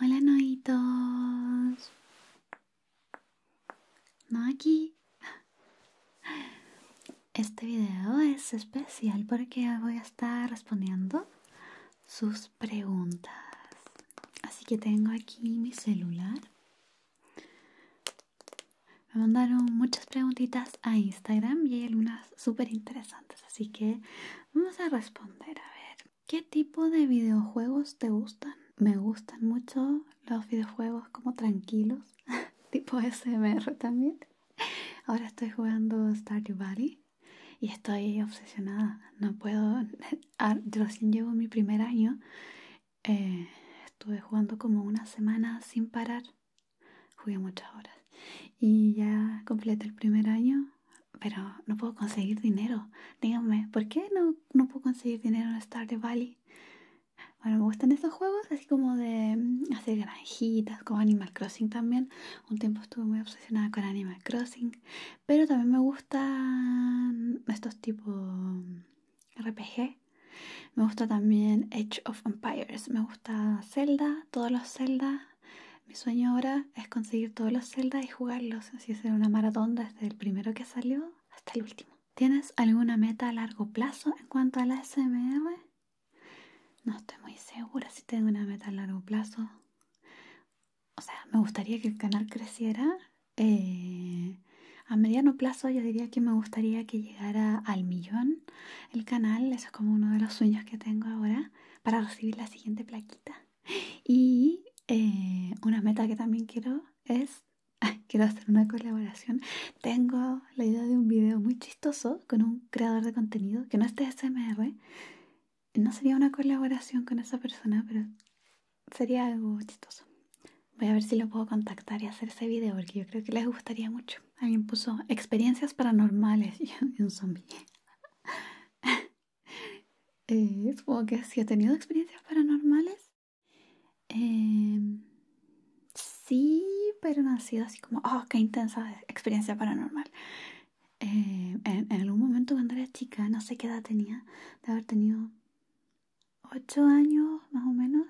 Hola, noitos. No aquí. Este video es especial porque voy a estar respondiendo sus preguntas. Así que tengo aquí mi celular. Me mandaron muchas preguntitas a Instagram y hay algunas súper interesantes, así que vamos a responder. A ver, ¿Qué tipo de videojuegos te gustan? Me gustan mucho los videojuegos como tranquilos, tipo SMR también. Ahora estoy jugando Stardew Valley y estoy obsesionada. No puedo. Yo ah, Recién llevo mi primer año. Eh, estuve jugando como una semana sin parar. Jugué muchas horas. Y ya completé el primer año pero no puedo conseguir dinero. Díganme, ¿por qué no, puedo conseguir dinero en de Valley? Bueno, me gustan esos juegos, así como de mm, hacer granjitas, como Animal Crossing también. Un tiempo estuve muy obsesionada con Animal Crossing, pero también me gustan estos tipos mm, RPG. Me gusta también Edge of Empires, me gusta Zelda, todos los Zelda. Mi sueño ahora es conseguir todos los celdas y jugarlos, así hacer una maratón desde el primero que salió hasta el último. ¿Tienes alguna meta a largo plazo en cuanto a la SMR? No estoy muy segura si tengo una meta a largo plazo. O sea, me gustaría que el canal creciera. Eh, a mediano plazo yo diría que me gustaría que llegara al millón el canal. Eso es como uno de los sueños que tengo ahora para recibir la siguiente plaquita. Y eh, una meta que también quiero es, quiero hacer una colaboración. Tengo la idea de un video muy chistoso con un creador de contenido que no esté de SMR. No sería una colaboración con esa persona, pero sería algo chistoso. Voy a ver si lo puedo contactar y hacer ese video porque yo creo que les gustaría mucho. Alguien puso experiencias paranormales y un zombie. ¿Es eh, supongo que si ¿sí tenido experiencias paranormales. Em, sí, pero no ha sido así como, oh, qué intensa experiencia paranormal. Em, en, en, algún momento cuando era chica, no sé qué edad tenía, de haber tenido 8 años más o menos,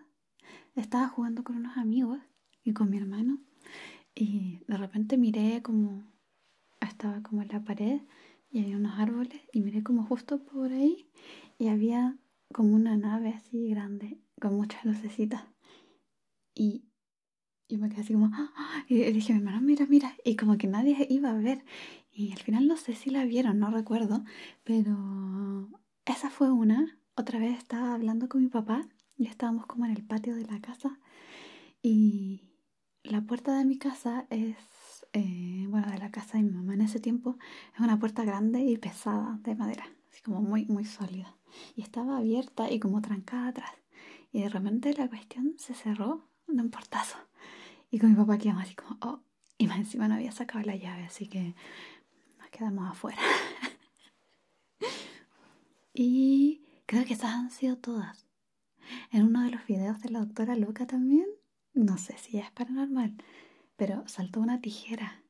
estaba jugando con unos amigos y con mi hermano y de repente miré como estaba como en la pared y había unos árboles y miré como justo por ahí y había como una nave así grande con muchas lucecitas y yo me quedé así como ¡Ah! y dije mi hermano mira mira y como que nadie iba a ver y al final no sé si la vieron no recuerdo pero esa fue una otra vez estaba hablando con mi papá y estábamos como en el patio de la casa y la puerta de mi casa es, eh, bueno, de la casa de mi mamá en ese tiempo, es una puerta grande y pesada de madera, así como muy, muy sólida. Y estaba abierta y como trancada atrás. Y de repente la cuestión se cerró de un portazo. Y con mi papá quedamos así como, oh, y más encima no había sacado la llave, así que nos quedamos afuera. y creo que esas han sido todas. En uno de los videos de la doctora loca también, no sé si es paranormal, pero saltó una tijera.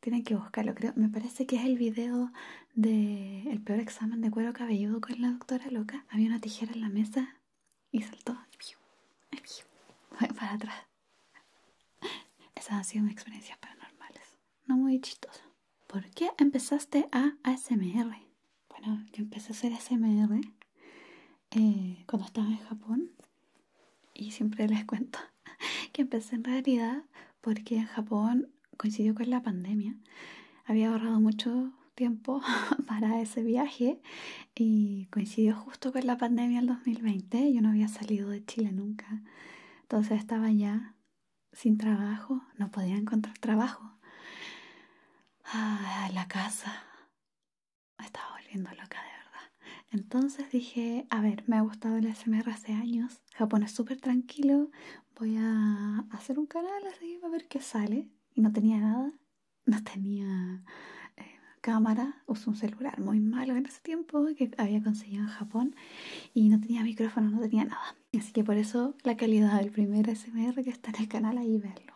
Tienen que buscarlo, creo. Me parece que es el video de el peor examen de cuero cabelludo con la doctora loca Había una tijera en la mesa y saltó. Fue para atrás. Esas han sido mis experiencias paranormales. No muy chistosas. ¿Por qué empezaste a ASMR? bueno, yo empecé a hacer SMR eh, cuando estaba en Japón y siempre les cuento que empecé en realidad porque en Japón coincidió con la pandemia. Había ahorrado mucho tiempo para ese viaje y coincidió justo con la pandemia del 2020. Yo no había salido de Chile nunca. Entonces estaba ya sin trabajo, no podía encontrar trabajo. Ah, la casa. Me estaba volviendo loca de verdad. Entonces dije, a ver, me ha gustado el SMR hace años. Japón es súper tranquilo. Voy a hacer un canal así para ver qué sale. Y no tenía nada. No tenía eh, cámara. Usé un celular muy malo en ese tiempo que había conseguido en Japón. Y no tenía micrófono, no tenía nada. Así que por eso la calidad del primer SMR que está en el canal ahí verlo.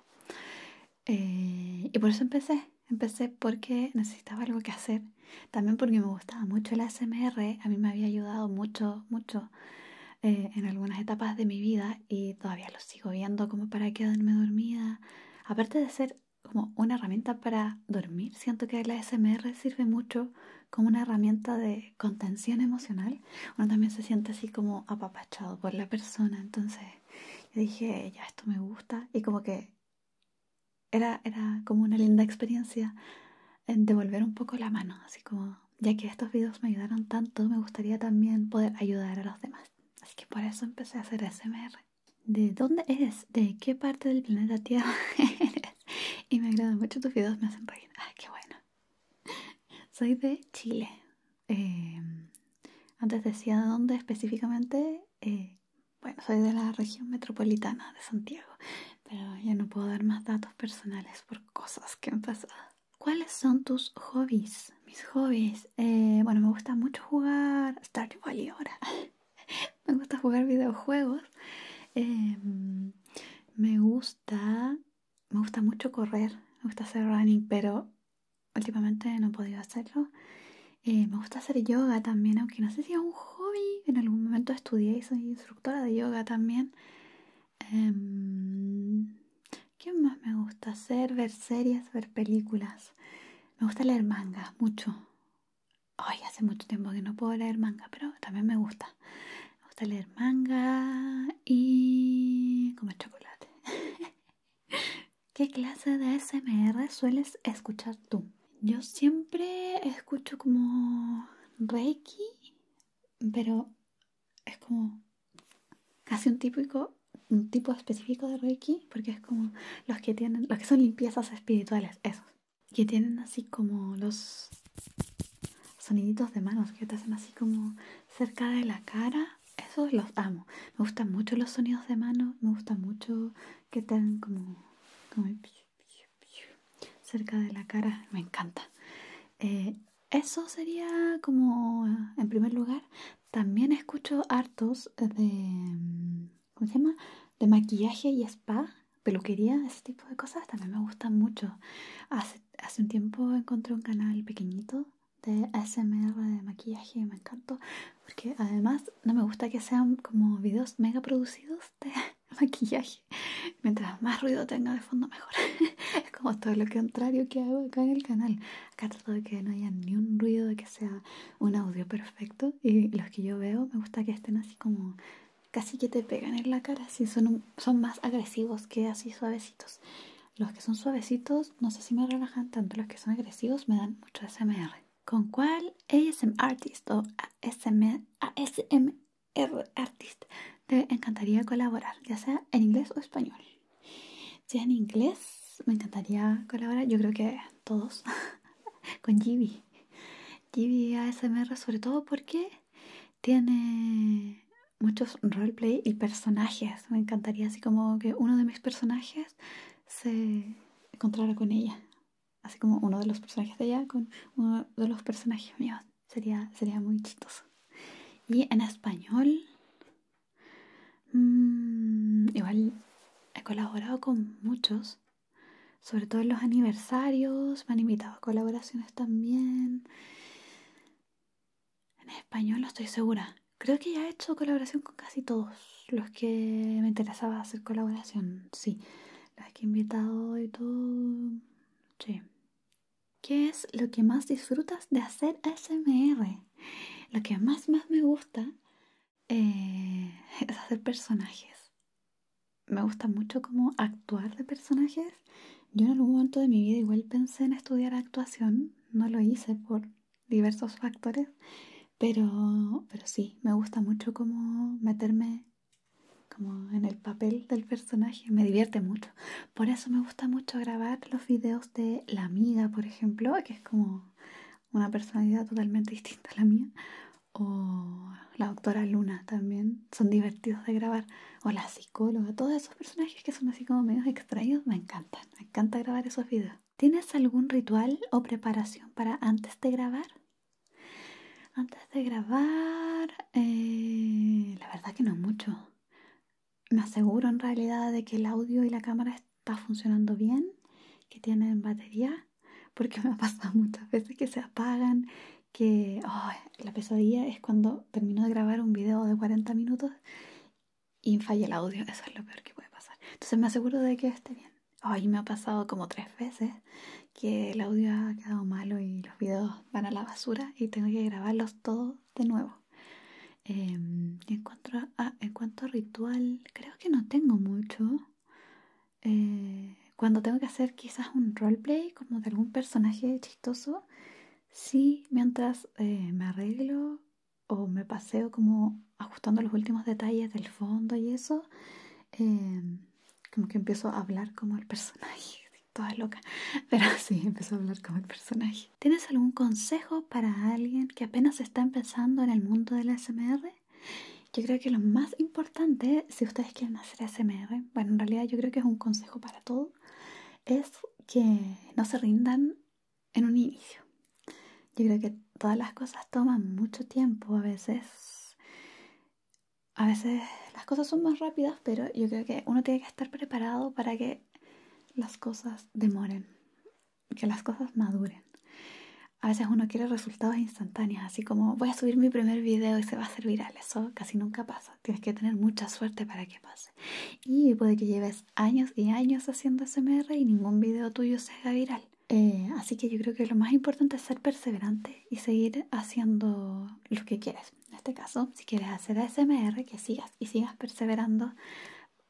Eh, y por eso empecé. Empecé porque necesitaba algo que hacer. También porque me gustaba mucho el ASMR. A mí me había ayudado mucho, mucho eh, en algunas etapas de mi vida y todavía lo sigo viendo como para quedarme dormida. Aparte de ser como una herramienta para dormir, siento que el ASMR sirve mucho como una herramienta de contención emocional. Uno también se siente así como por la persona. Entonces yo dije, ya esto me gusta. Y como que era, era como una linda experiencia en devolver un poco la mano. Así como, ya que estos videos me ayudaron tanto, me gustaría también poder ayudar a los demás. Así que por eso empecé a hacer SMR. ¿De dónde eres? ¿De qué parte del planeta Tierra Y me agradan mucho tus videos, me hacen reír. ¡Ay, ah, qué bueno! Soy de Chile, eh, antes decía dónde específicamente. Eh, bueno, soy de la región metropolitana de Santiago, pero ya no puedo dar más datos personales por cosas que han pasado. ¿Cuáles son tus hobbies? Mis hobbies. Eh, bueno, me gusta mucho jugar Stardew Valley ahora. me gusta jugar videojuegos. me gusta. Me gusta mucho correr. Me gusta hacer running, pero últimamente no he podido hacerlo. Eh, me gusta hacer yoga también, aunque no sé si es un hobby. En algún momento estudié y soy instructora de yoga también. Em, ¿Qué más me gusta hacer? Ver series, ver películas. Me gusta leer manga, mucho. hoy hace mucho tiempo que no puedo leer manga, pero también me gusta. Me gusta leer manga y comer chocolate. ¿Qué clase de SMR sueles escuchar tú? Yo siempre escucho como Reiki, pero es como casi un típico un tipo específico de Reiki, porque es como los que tienen, los que son limpiezas espirituales, esos, que tienen así como los soniditos de manos que te hacen así como cerca de la cara esos los amo. Me gustan mucho los sonidos de manos, me gusta mucho que tengan como, como cerca de la cara, me encanta. Eh, eso sería como, en primer lugar, también escucho hartos de, ¿cómo se llama? De maquillaje y spa, peluquería, ese tipo de cosas, también me gustan mucho. Hace, hace un tiempo encontré un canal pequeñito de ASMR de maquillaje me encantó porque además no me gusta que sean como videos mega producidos de maquillaje mientras más ruido tenga de fondo mejor es como todo lo contrario que hago acá en el canal acá trato de que no haya ni un ruido de que sea un audio perfecto y los que yo veo me gusta que estén así como casi que te pegan en la cara si son, son más agresivos que así suavecitos los que son suavecitos, no sé si me relajan tanto. Los que son agresivos me dan mucho SMR. ¿Con cuál ASM Artist o ASMR, Artist te encantaría colaborar? Ya sea en inglés o español. Si en inglés, me encantaría colaborar. Yo creo que todos. Con Gibi. Gibi ASMR, sobre todo porque tiene muchos roleplay y personajes. Me encantaría así como que uno de mis personajes se encontrara con ella. Así como uno de los personajes de ella con uno de los personajes míos. Sería, sería muy chistoso. Y en español, mm, igual he colaborado con muchos. Sobre todo en los aniversarios, me han invitado a colaboraciones también. En español no estoy segura. Creo que ya he hecho colaboración con casi todos los que me interesaba hacer colaboración. Sí, los que he invitado y todo. Sí. ¿Qué es lo que más disfrutas de hacer S.M.R. Lo que más, más me gusta eh, es hacer personajes. Me gusta mucho como actuar de personajes. Yo en algún momento de mi vida igual pensé en estudiar actuación. No lo hice por diversos factores, pero, pero sí, me gusta mucho como meterme como en el papel del personaje, me divierte mucho. Por eso me gusta mucho grabar los videos de la amiga, por ejemplo, que es como una personalidad totalmente distinta a la mía, o la doctora Luna también, son divertidos de grabar, o la psicóloga, todos esos personajes que son así como menos extraños, me encantan, me encanta grabar esos videos. ¿tienes algún ritual o preparación para antes de grabar? Antes de grabar, eh, la verdad que no mucho. Me aseguro en realidad de que el audio y la cámara está funcionando bien, que tienen batería, porque me ha pasado muchas veces que se apagan, que la pesadilla es cuando termino de grabar un video de 40 minutos y el audio, eso es lo peor que puede pasar. Entonces me aseguro de que esté bien. Hoy me ha pasado como tres veces que el audio ha quedado malo y los videos van a la basura y tengo que grabarlos todos de nuevo. Em, ah, en, cuanto a, ritual, creo que no tengo mucho. Eh, cuando tengo que hacer quizás un roleplay como de algún personaje chistoso, sí, mientras eh, me arreglo o me paseo como ajustando los últimos detalles del fondo y eso, em, como que empiezo a hablar como el personaje. Toda loca, pero sí, empiezo a hablar como el personaje. ¿Tienes algún consejo para alguien que apenas está empezando en el mundo del SMR? Yo creo que lo más importante, si ustedes quieren hacer SMR, bueno, en realidad yo creo que es un consejo para todo, es que no se rindan en un inicio. Yo creo que todas las cosas toman mucho tiempo a veces. A veces las cosas son más rápidas, pero yo creo que uno tiene que estar preparado para que las cosas demoren, que las cosas maduren. A veces uno quiere resultados instantáneos, así como voy a subir mi primer video y se va a hacer viral. Eso casi nunca pasa. Tienes que tener mucha suerte para que pase. Y puede que lleves años y años haciendo SMR y ningún video tuyo se haga viral. Eh, así que yo creo que lo más importante es ser perseverante y seguir haciendo lo que quieres. En este caso, si quieres hacer SMR, que sigas y sigas perseverando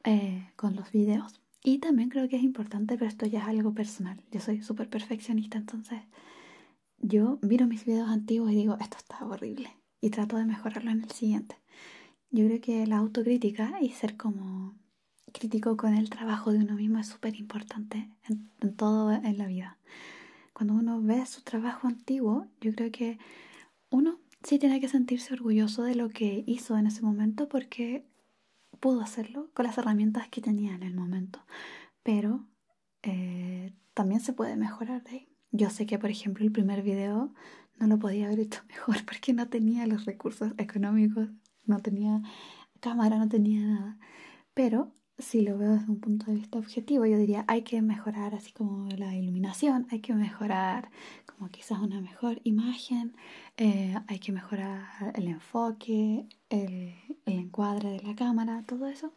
eh, con los videos. Y también creo que es importante, pero esto ya es algo personal. Yo soy súper perfeccionista, entonces yo miro mis videos antiguos y digo, esto está horrible. Y trato de mejorarlo en el siguiente. Yo creo que la autocrítica y ser como crítico con el trabajo de uno mismo es súper importante en, todo en la vida. Cuando uno ve su trabajo antiguo, yo creo que uno sí tiene que sentirse orgulloso de lo que hizo en ese momento porque pudo hacerlo con las herramientas que tenía en el momento. Pero eh, también se puede mejorar de ahí. Yo sé que, por ejemplo, el primer video no lo podía haber hecho mejor porque no tenía los recursos económicos, no tenía cámara, no tenía nada. Pero si lo veo desde un punto de vista objetivo, yo diría, hay que mejorar así como la iluminación, hay que mejorar como quizás una mejor imagen, eh, hay que mejorar el enfoque, el encuadre de la cámara, todo eso.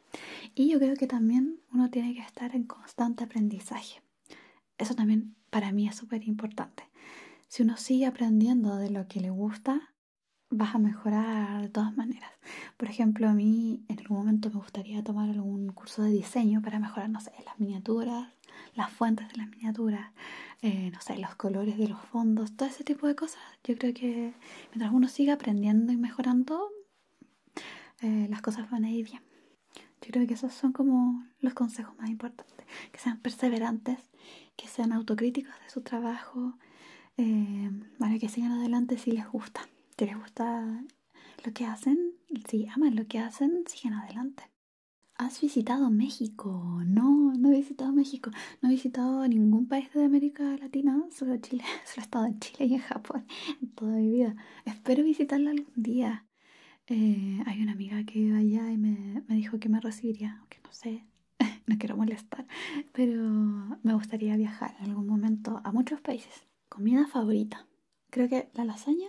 Y yo creo que también uno tiene que estar en constante aprendizaje. Eso también para mí es súper importante. Si uno sigue aprendiendo de lo que le gusta, vas a mejorar de todas maneras. Por ejemplo, a mí en algún momento me gustaría tomar algún curso de diseño para mejorar, no sé, las miniaturas, las fuentes de las miniaturas, eh, no sé, los colores de los fondos, todo ese tipo de cosas. Yo creo que mientras uno siga aprendiendo y mejorando, eh, las cosas van a ir bien. Yo creo que esos son como los consejos más importantes. Que sean perseverantes, que sean autocríticos de su trabajo, eh, bueno, que sigan adelante si les gusta. Si les gusta lo que hacen, si aman lo que hacen, sigan adelante. ¿Has visitado México? No, no he visitado México. No he visitado ningún país de América Latina, solo Chile. Solo he estado en Chile y en Japón en toda mi vida. Espero visitarla algún día. Eh, hay una amiga que iba allá y me, me dijo que me recibiría, aunque no sé, no quiero molestar, pero me gustaría viajar en algún momento a muchos países. Comida favorita. Creo que la lasaña,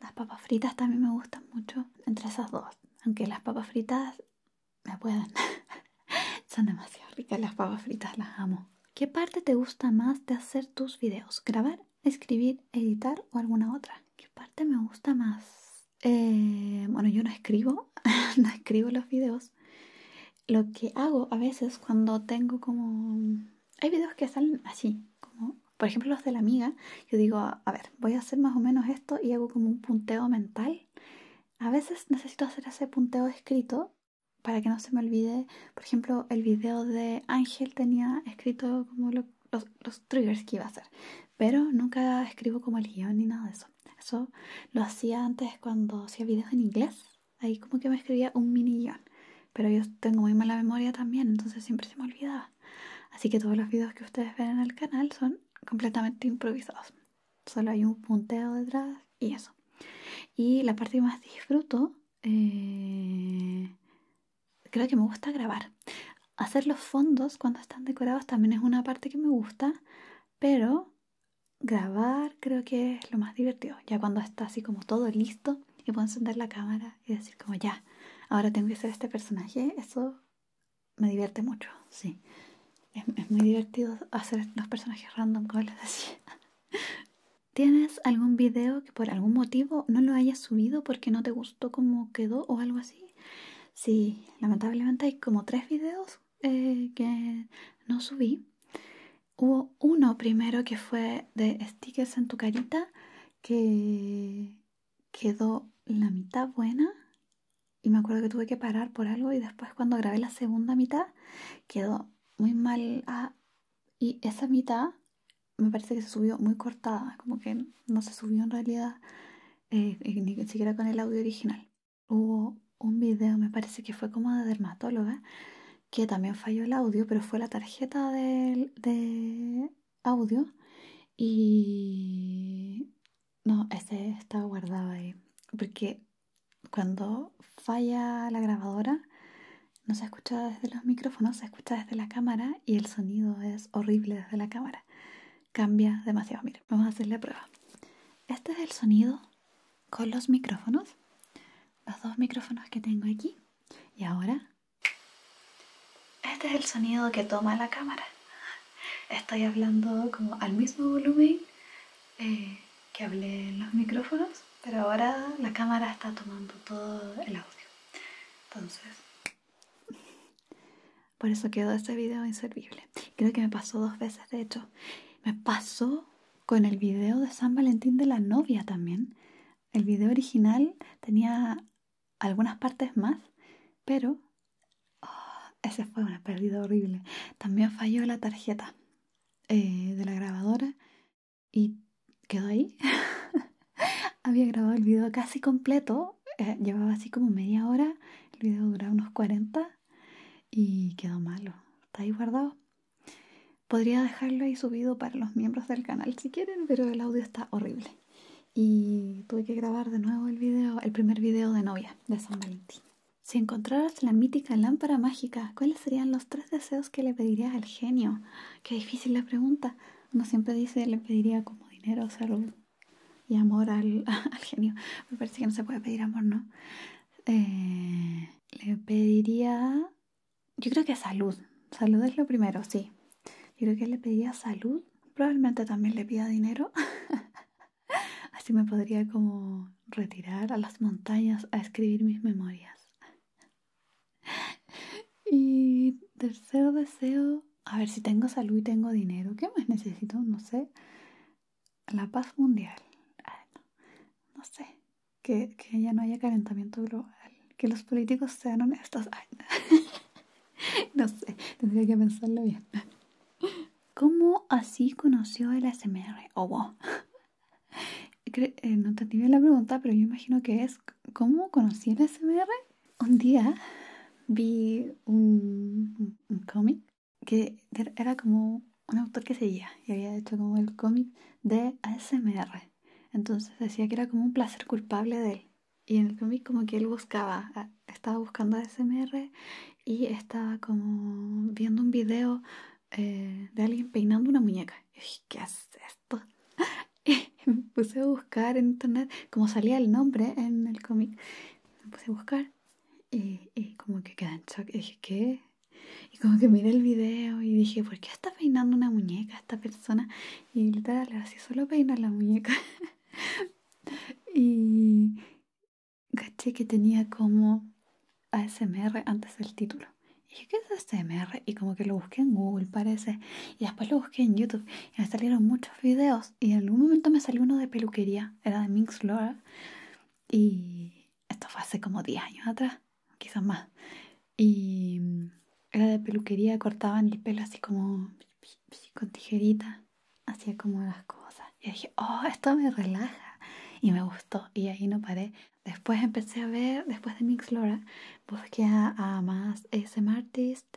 las papas fritas también me gustan mucho. Entre esas dos, aunque las papas fritas me pueden. Son demasiado ricas las papas fritas, las amo. ¿Qué parte te gusta más de hacer tus videos? ¿Grabar escribir, editar o alguna otra. ¿Qué parte me gusta más? Eh, bueno, yo no escribo, no escribo los videos. Lo que hago a veces cuando tengo como... Hay videos que salen así, como por ejemplo los de la amiga. Yo digo, a ver, voy a hacer más o menos esto y hago como un punteo mental. A veces necesito hacer ese punteo escrito para que no se me olvide. Por ejemplo, el video de Ángel tenía escrito como los, triggers que iba a hacer pero nunca escribo como el guión ni nada de eso. Eso lo hacía antes cuando hacía videos en inglés, ahí como que me escribía un mini guión, pero yo tengo muy mala memoria también, entonces siempre se me olvidaba. Así que todos los videos que ustedes ven en el canal son completamente improvisados. Solo hay un punteo detrás y eso. Y la parte que más disfruto eh, creo que me gusta grabar. Hacer los fondos cuando están decorados también es una parte que me gusta, pero grabar creo que es lo más divertido. Ya cuando está así como todo listo y puedo encender la cámara y decir como ya, ahora tengo que hacer este personaje, eso me divierte mucho, sí. Es, muy divertido hacer los personajes random, como les decía. ¿Tienes algún video que por algún motivo no lo hayas subido porque no te gustó como quedó o algo así? Sí, lamentablemente hay como tres videos eh, que no subí. Hubo uno primero que fue de stickers en tu carita que quedó la mitad buena y me acuerdo que tuve que parar por algo y después cuando grabé la segunda mitad quedó muy mal ah, y esa mitad me parece que se subió muy cortada, como que no se subió en realidad eh, eh, ni siquiera con el audio original. Hubo un video, me parece que fue como de dermatóloga, que también falló el audio, pero fue la tarjeta de, de audio y... No, este estaba guardado ahí, porque cuando falla la grabadora, no se escucha desde los micrófonos, se escucha desde la cámara y el sonido es horrible desde la cámara cambia demasiado. Mira, vamos a hacer la prueba. Este es el sonido con los micrófonos. Los dos micrófonos que tengo aquí. Y ahora... Este es el sonido que toma la cámara. Estoy hablando como al mismo volumen eh, que hablé en los micrófonos, pero ahora la cámara está tomando todo el audio. Entonces... Por eso quedó ese video inservible. Creo que me pasó dos veces, de hecho. Me pasó con el video de San Valentín de la novia también. El video original tenía algunas partes más, pero oh, ese fue una pérdida horrible. También falló la tarjeta eh, de la grabadora y quedó ahí. había grabado el video casi completo, eh, llevaba así como media hora, el video duraba unos 40 y quedó malo. Está ahí guardado. Podría dejarlo ahí subido para los miembros del canal si quieren, pero el audio está horrible. Y tuve que grabar de nuevo el video, el primer video de novia de San Valentín. Si encontraras la mítica lámpara mágica, ¿cuáles serían los tres deseos que le pedirías al genio? Qué difícil la pregunta. Uno siempre dice le pediría como dinero, o salud, y amor al, genio. Me parece que no se puede pedir amor, ¿no? Eh, le pediría, yo creo que salud. Salud es lo primero, sí. Yo creo que le pediría salud. Probablemente también le pida dinero. Así me podría como retirar a las montañas a escribir mis memorias. Y tercer deseo, a ver si tengo salud y tengo dinero, ¿qué más necesito? No sé, la paz mundial, no. sé, que, que ya no haya calentamiento global, que los políticos sean honestos, no. sé, tendría que pensarlo bien. ¿Cómo así conoció el SMR eh, no te bien la pregunta, pero yo imagino que es ¿cómo conocí el SMR? un día vi un, cómic que era como un autor que seguía y había hecho como el cómic de ASMR. Entonces decía que era como un placer culpable de él. Y en el cómic como que él buscaba, estaba buscando ASMR y estaba como viendo un video eh, de alguien peinando una muñeca. ¿qué hace esto? y me puse a buscar en internet como salía el nombre en el cómic me puse a buscar y, como que quedé en shock y dije, ¿qué? Y como que miré el video y dije, ¿por qué está peinando una muñeca esta persona? Y literal, así solo peina la muñeca. y caché que tenía como ASMR antes del título. Y dije, ¿qué es ASMR? Y como que lo busqué en Google, parece. Y después lo busqué en YouTube. Y me salieron muchos videos y en algún momento me salió uno de peluquería, era de Minx Laura. Y esto fue hace como 10 años atrás, quizás más. Y mm, era de peluquería, cortaban el pelo así como con tijerita, hacía como las cosas. Y dije, oh, esto me relaja. Y me gustó, y ahí no paré. Después empecé a ver, después de Mix Laura, busqué a, más ese Artist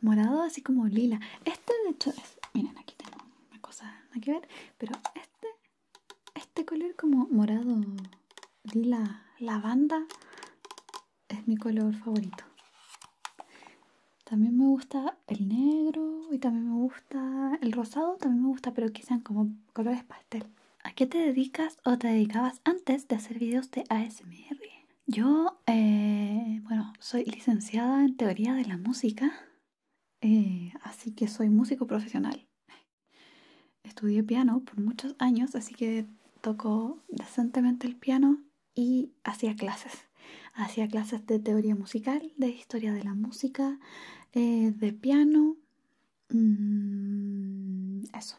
morado así como lila. Este de hecho es, miren aquí tengo una cosa que ver, pero este, este color como morado lila lavanda es mi color favorito. También me gusta el negro y también me gusta el rosado, también me gusta, pero que sean como colores pastel. ¿A qué te dedicas o te dedicabas antes de hacer videos de ASMR? Yo, eh, bueno, soy licenciada en teoría de la música, eh, así que soy músico profesional. Estudié piano por muchos años, así que tocó decentemente el piano y hacía clases. Hacía clases de teoría musical, de historia de la música, eh, de piano. Mm, eso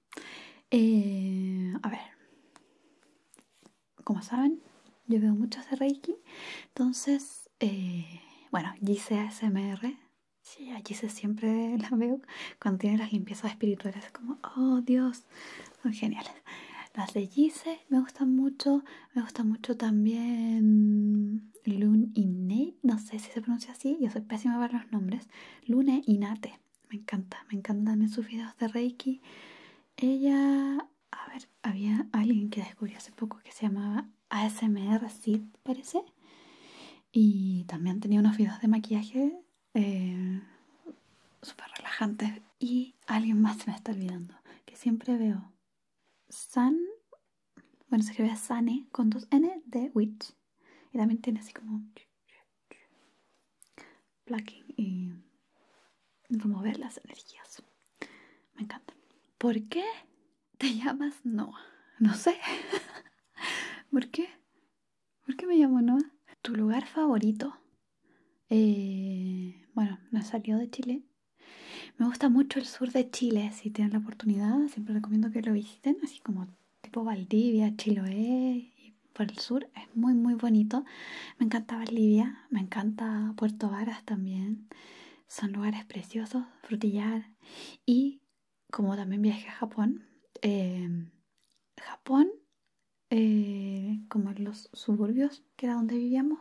Eh, a ver, como saben, yo veo mucho de Reiki, entonces, eh, bueno, Gise ASMR, sí, a Gise siempre la veo cuando tiene las limpiezas espirituales, como, oh Dios, son geniales. Las de Gise me gustan mucho, me gusta mucho también Lune Nate, no sé si se pronuncia así, yo soy pésima para los nombres, Lune Nate me encanta, me encantan esos sus videos de Reiki. Ella, a ver, había alguien que descubrí hace poco que se llamaba ASMR Sid, parece. Y también tenía unos videos de maquillaje eh, súper relajantes. Y alguien más se me está olvidando, que siempre veo. San, bueno, se escribe Sane con dos N de Witch. Y también tiene así como Plucking y remover las energías. Me encanta. ¿Por qué te llamas Noah? No sé. ¿Por qué? ¿Por qué me llamo Noah? ¿Tu lugar favorito? Eh, bueno, no salió de Chile. Me gusta mucho el sur de Chile. Si tienen la oportunidad, siempre recomiendo que lo visiten, así como tipo Valdivia, Chiloé y por el sur. Es muy, muy bonito. Me encanta Valdivia, me encanta Puerto Varas también. Son lugares preciosos, frutillar. Y como también viajé a Japón, em, Japón, eh, como en los suburbios, que era donde vivíamos,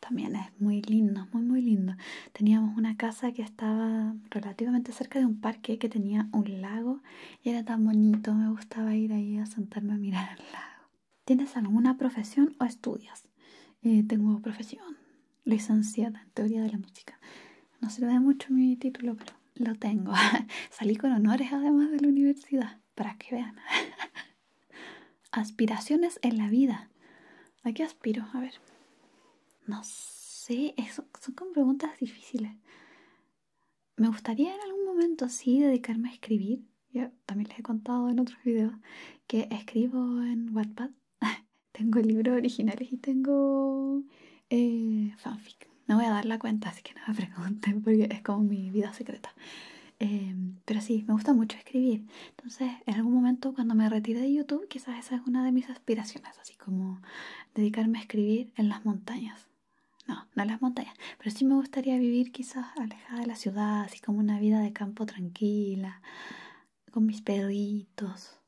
también es muy lindo, muy, muy lindo. Teníamos una casa que estaba relativamente cerca de un parque que tenía un lago y era tan bonito, me gustaba ir ahí a sentarme a mirar al lago. ¿Tienes alguna profesión o estudias? Eh, tengo profesión, licenciada en teoría de la música. No se ve mucho mi título, pero lo tengo. Salí con honores además de la universidad, para que vean. Aspiraciones en la vida. ¿A qué aspiro? A ver. No sé, eso, son como preguntas difíciles me gustaría en algún momento así dedicarme a escribir. Yo también les he contado en otros videos que escribo en Wattpad. tengo libros originales y tengo eh, fanfic. No voy a dar la cuenta, así que no me pregunten porque es como mi vida secreta. Em, pero sí, me gusta mucho escribir. Entonces, en algún momento cuando me retire de YouTube, quizás esa es una de mis aspiraciones, así como dedicarme a escribir en las montañas. No, no las montañas. Pero sí me gustaría vivir quizás alejada de la ciudad, así como una vida de campo tranquila, con mis perritos,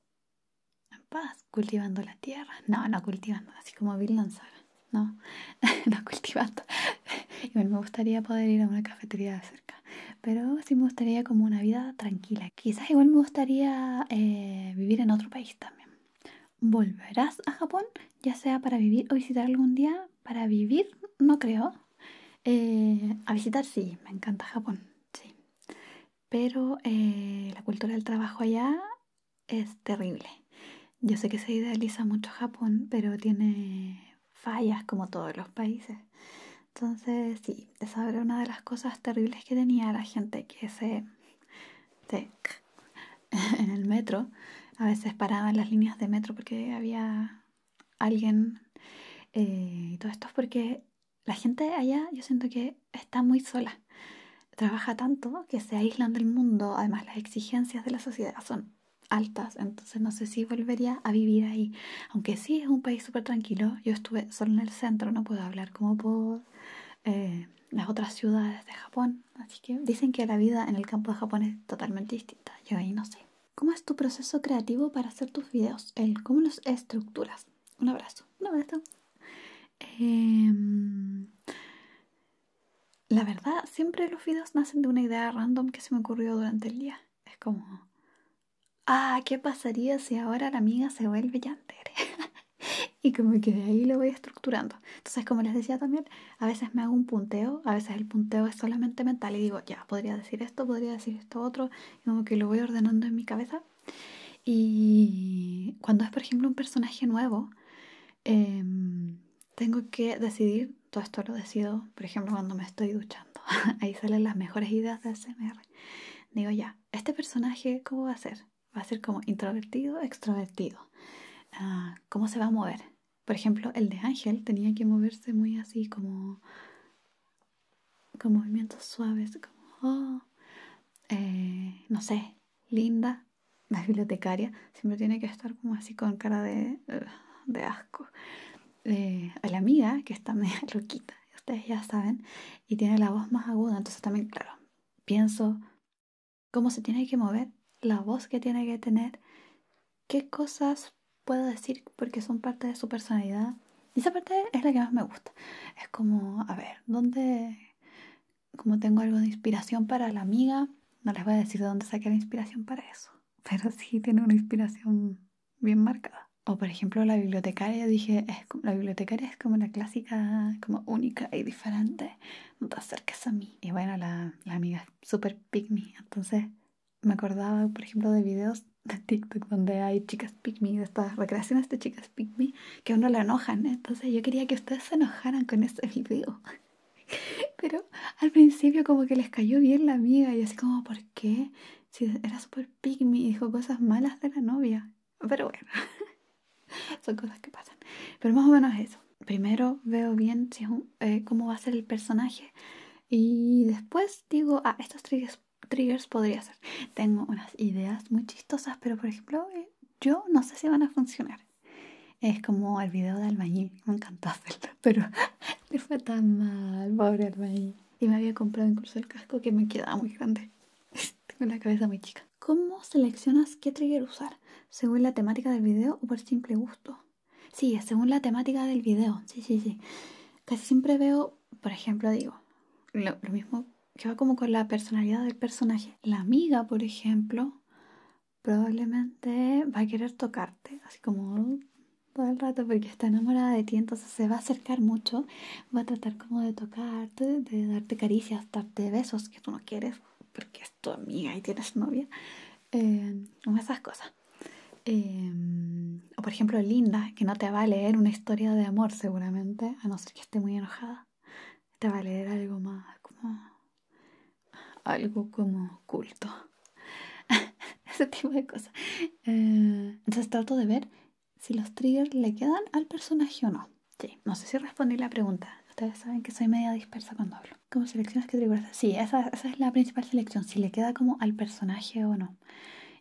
en paz, cultivando la tierra. No, no cultivando, así como Bill Lanzara. No, no cultivando. Igual me gustaría poder ir a una cafetería de cerca. Pero sí me gustaría como una vida tranquila. Quizás igual me gustaría eh, vivir en otro país también volverás a Japón, ya sea para vivir o visitar algún día. Para vivir, no creo. Eh, a visitar, sí, me encanta Japón, sí. Pero eh, la cultura del trabajo allá es terrible. Yo sé que se idealiza mucho Japón, pero tiene fallas como todos los países. Entonces, sí, esa era una de las cosas terribles que tenía la gente que se, se en el metro. A veces paraban en las líneas de metro porque había alguien. Eh, y todo esto es porque la gente allá yo siento que está muy sola. Trabaja tanto que se aíslan del mundo. Además las exigencias de la sociedad son altas. Entonces no sé si volvería a vivir ahí. Aunque sí es un país súper tranquilo. Yo estuve solo en el centro. No puedo hablar como por eh, las otras ciudades de Japón Así que dicen que la vida en el campo de Japón es totalmente distinta. Yo ahí no sé. ¿Cómo es tu proceso creativo para hacer tus videos? ¿Cómo los estructuras? Un abrazo. Em, la verdad, siempre los videos nacen de una idea random que se me ocurrió durante el día. Es como, ah, ¿qué pasaría si ahora la amiga se vuelve llantera? y como que de ahí lo voy estructurando. Entonces, como les decía también, a veces me hago un punteo, a veces el punteo es solamente mental y digo, ya, podría decir esto, podría decir esto otro, y como que lo voy ordenando en mi cabeza. Y cuando es, por ejemplo, un personaje nuevo, em, tengo que decidir, todo esto lo decido, por ejemplo, cuando me estoy duchando, ahí salen las mejores ideas de SMR. Digo, ya, este personaje, ¿cómo va a ser? va a ser como introvertido, extrovertido. Ah, ¿Cómo se va a mover? Por ejemplo, el de Ángel tenía que moverse muy así como con movimientos suaves, como, oh, eh, no sé, linda. La bibliotecaria siempre tiene que estar como así con cara de, uh, de asco. Eh, a la amiga, que está media loquita, ustedes ya saben, y tiene la voz más aguda, entonces también, claro, pienso cómo se tiene que mover, la voz que tiene que tener, qué cosas puedo decir porque son parte de su personalidad. Y esa parte es la que más me gusta. Es como, a ver, ¿dónde? Como tengo algo de inspiración para la amiga, no les voy a decir de dónde saqué la inspiración para eso, pero sí tiene una inspiración bien marcada. O por ejemplo la bibliotecaria, dije, es la bibliotecaria es como la clásica, como única y diferente. No te acerques a mí y, bueno, la, amiga es súper pygmy. Entonces me acordaba, por ejemplo, de videos de TikTok donde hay chicas pygmy, de estas recreaciones de chicas pygmy que a uno la enojan. ¿eh? Entonces yo quería que ustedes se enojaran con ese video. Pero al principio como que les cayó bien la amiga y así como, ¿por qué? Si era súper pygmy y dijo cosas malas de la novia. Pero bueno, Son cosas que pasan. Pero más o menos eso. Primero veo bien eh, cómo va a ser el personaje. Y después digo, ah, estos triggers, podría ser. Tengo unas ideas muy chistosas, pero por ejemplo, eh, yo no sé si van a funcionar. Es como el video de Albañil. Me encantó hacerlo, pero le fue tan mal, pobre Albañil. Y me había comprado incluso el casco que me quedaba muy grande. Tengo la cabeza muy chica. ¿Cómo seleccionas qué trigger usar? ¿Según la temática del video o por simple gusto? Sí, según la temática del video. Sí, sí, sí. Casi siempre veo, por ejemplo, digo, lo, lo mismo que va como con la personalidad del personaje. La amiga, por ejemplo, probablemente va a querer tocarte, así como todo el rato porque está enamorada de ti, entonces se va a acercar mucho, va a tratar como de tocarte, de darte caricias, darte besos que tú no quieres, porque tu amiga y tienes novia, eh, esas cosas. Eh, o por ejemplo Linda, que no te va a leer una historia de amor seguramente, a no ser que esté muy enojada. Te va a leer algo más como... algo como culto. Ese tipo de cosas. Eh, entonces trato de ver si los triggers le quedan al personaje o no. Sí, no sé si respondí la pregunta. Ustedes saben que soy media dispersa cuando hablo como selecciones categorías. Sí, esa, es la principal selección, si le queda como al personaje o no.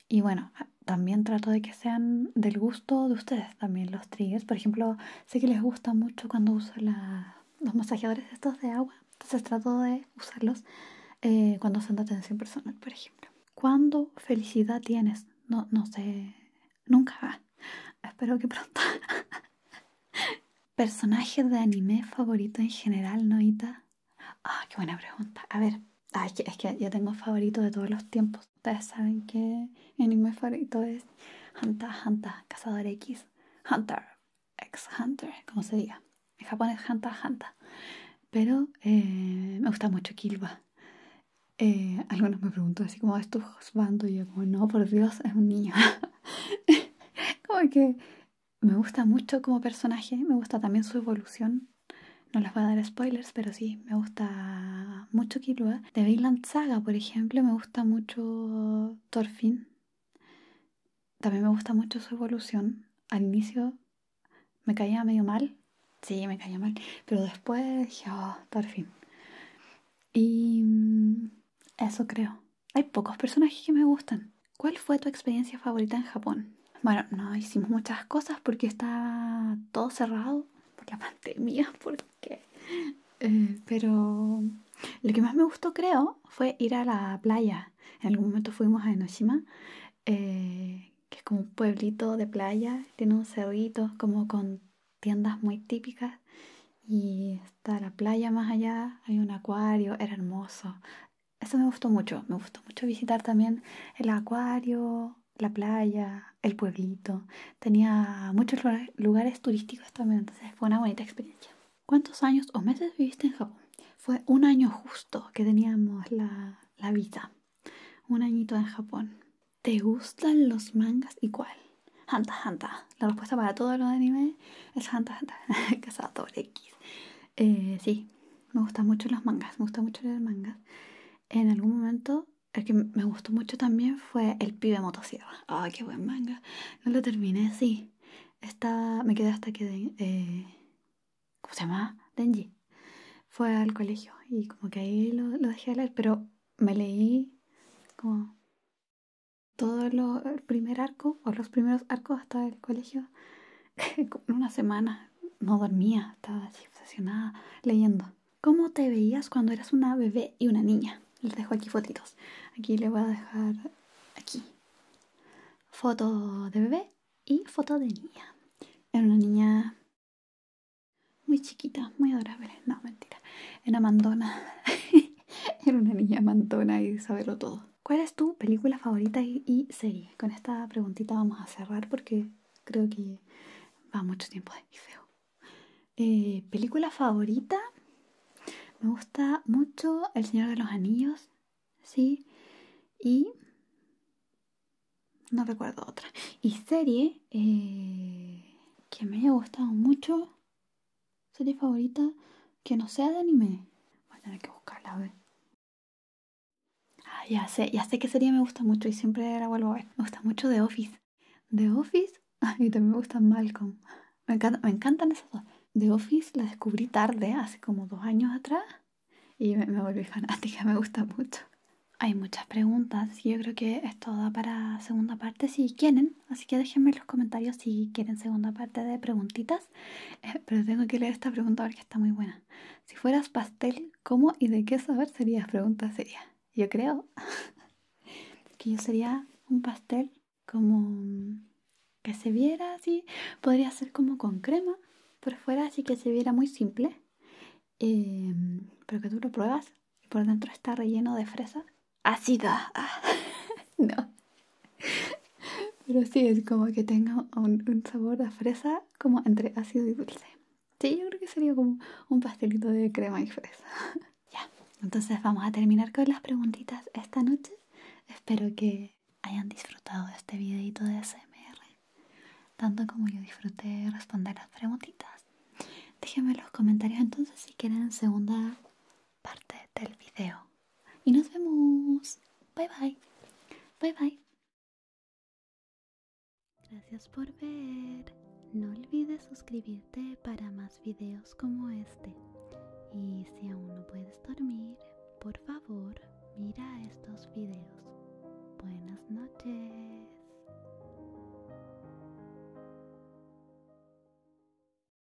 Y bueno, también trato de que sean del gusto de ustedes también los triggers. Por ejemplo, sé que les gusta mucho cuando uso los masajeadores estos de agua. Entonces trato de usarlos eh, cuando son de atención personal, por ejemplo. ¿Cuándo felicidad tienes? No, no sé. Nunca. Espero que pronto. ¿Personaje de anime favorito en general, Noita? Ah, qué buena pregunta. A ver, ah, es, que, yo tengo favorito de todos los tiempos. Ustedes saben que mi anime favorito es Hunter Hunter, Cazador X, Hunter, X Hunter, como se diga. En japonés Hunter Hunter. Pero eh, me gusta mucho Kilba. Eh, algunos me preguntan así como, ¿es tu Y yo como, no, por Dios, es un niño. como que me gusta mucho como personaje, me gusta también su evolución. No les voy a dar spoilers, pero sí, me gusta mucho Killua. De Vinland Saga, por ejemplo, me gusta mucho Thorfinn. También me gusta mucho su evolución. Al inicio me caía medio mal. Sí, me caía mal. Pero después dije, oh, Thorfinn. Y mm, eso creo. Hay pocos personajes que me gustan. ¿Cuál fue tu experiencia favorita en Japón? Bueno, no hicimos muchas cosas porque está todo cerrado porque la pandemia, porque... Eh, pero lo que más me gustó, creo, fue ir a la playa. En algún momento fuimos a Enoshima, eh, que es como un pueblito de playa, tiene un cerrito como con tiendas muy típicas y está la playa más allá, hay un acuario, era hermoso. Eso me gustó mucho, me gustó mucho visitar también el acuario, la playa, el pueblito. Tenía muchos lugares turísticos también, entonces fue una bonita experiencia. ¿Cuántos años o meses viviste en Japón? Fue un año justo que teníamos la, la Un añito en Japón. ¿Te gustan los mangas y cuál? Hanta Hanta. La respuesta para todo lo de anime es Hanta Hanta. Cazador X. Eh, sí, me gustan mucho los mangas. Me gusta mucho leer mangas. En algún momento, el que me gustó mucho también fue El Pibe Motosierra. ¡Ay, qué buen manga! No lo terminé, sí. está. me quedé hasta que. Eh, ¿Cómo se llama? Denji. Fue al colegio y como que ahí lo, dejé leer, pero me leí como todo el primer arco o los primeros arcos hasta el colegio, una semana no dormía, estaba así obsesionada leyendo. ¿Cómo te veías cuando eras una bebé y una niña? Les dejo aquí fotitos. Aquí le voy a dejar aquí. Foto de bebé y foto de niña. Era una niña muy chiquita, muy adorable. No, mentira. Era mandona. Era una niña mantona y saberlo todo. ¿Cuál es tu película favorita y, serie? Con esta preguntita vamos a cerrar porque creo que va mucho tiempo de feo. Eh, película favorita. Me gusta mucho El Señor de los Anillos. Sí. Y... No recuerdo otra. Y serie eh, que me haya gustado mucho. ¿Serie favorita? Que no sea de anime. Bueno, hay tener que buscarla, a ver. Ah, ya sé, ya sé qué serie me gusta mucho y siempre la vuelvo a ver. Me gusta mucho The Office. The Office, a también me gustan Malcolm. Me, encantan esas dos. The Office la descubrí tarde, hace como dos años atrás, y me, volví fanática, me gusta mucho. Hay muchas preguntas, y yo creo que esto da para segunda parte si quieren. Así que déjenme en los comentarios si quieren segunda parte de preguntitas. Eh, pero tengo que leer esta pregunta porque está muy buena. Si fueras pastel, ¿cómo y de qué saber serías? Pregunta seria Yo creo que yo sería un pastel como que se viera así. Podría ser como con crema por fuera, así que se viera muy simple. Eh, pero que tú lo pruebas y por dentro está relleno de fresas ácida. no. Pero sí, es como que tenga un, sabor a fresa como entre ácido y dulce. Sí, yo creo que sería como un pastelito de crema y fresa. ya, entonces vamos a terminar con las preguntitas esta noche. Espero que hayan disfrutado este videito de ASMR, tanto como yo disfruté responder las preguntitas. Déjenme en los comentarios entonces si quieren segunda parte del video. Y nos vemos. Bye bye. Bye bye. Gracias por ver. No olvides suscribirte para más videos como este. Y si aún no puedes dormir, por favor, mira estos videos. Buenas noches.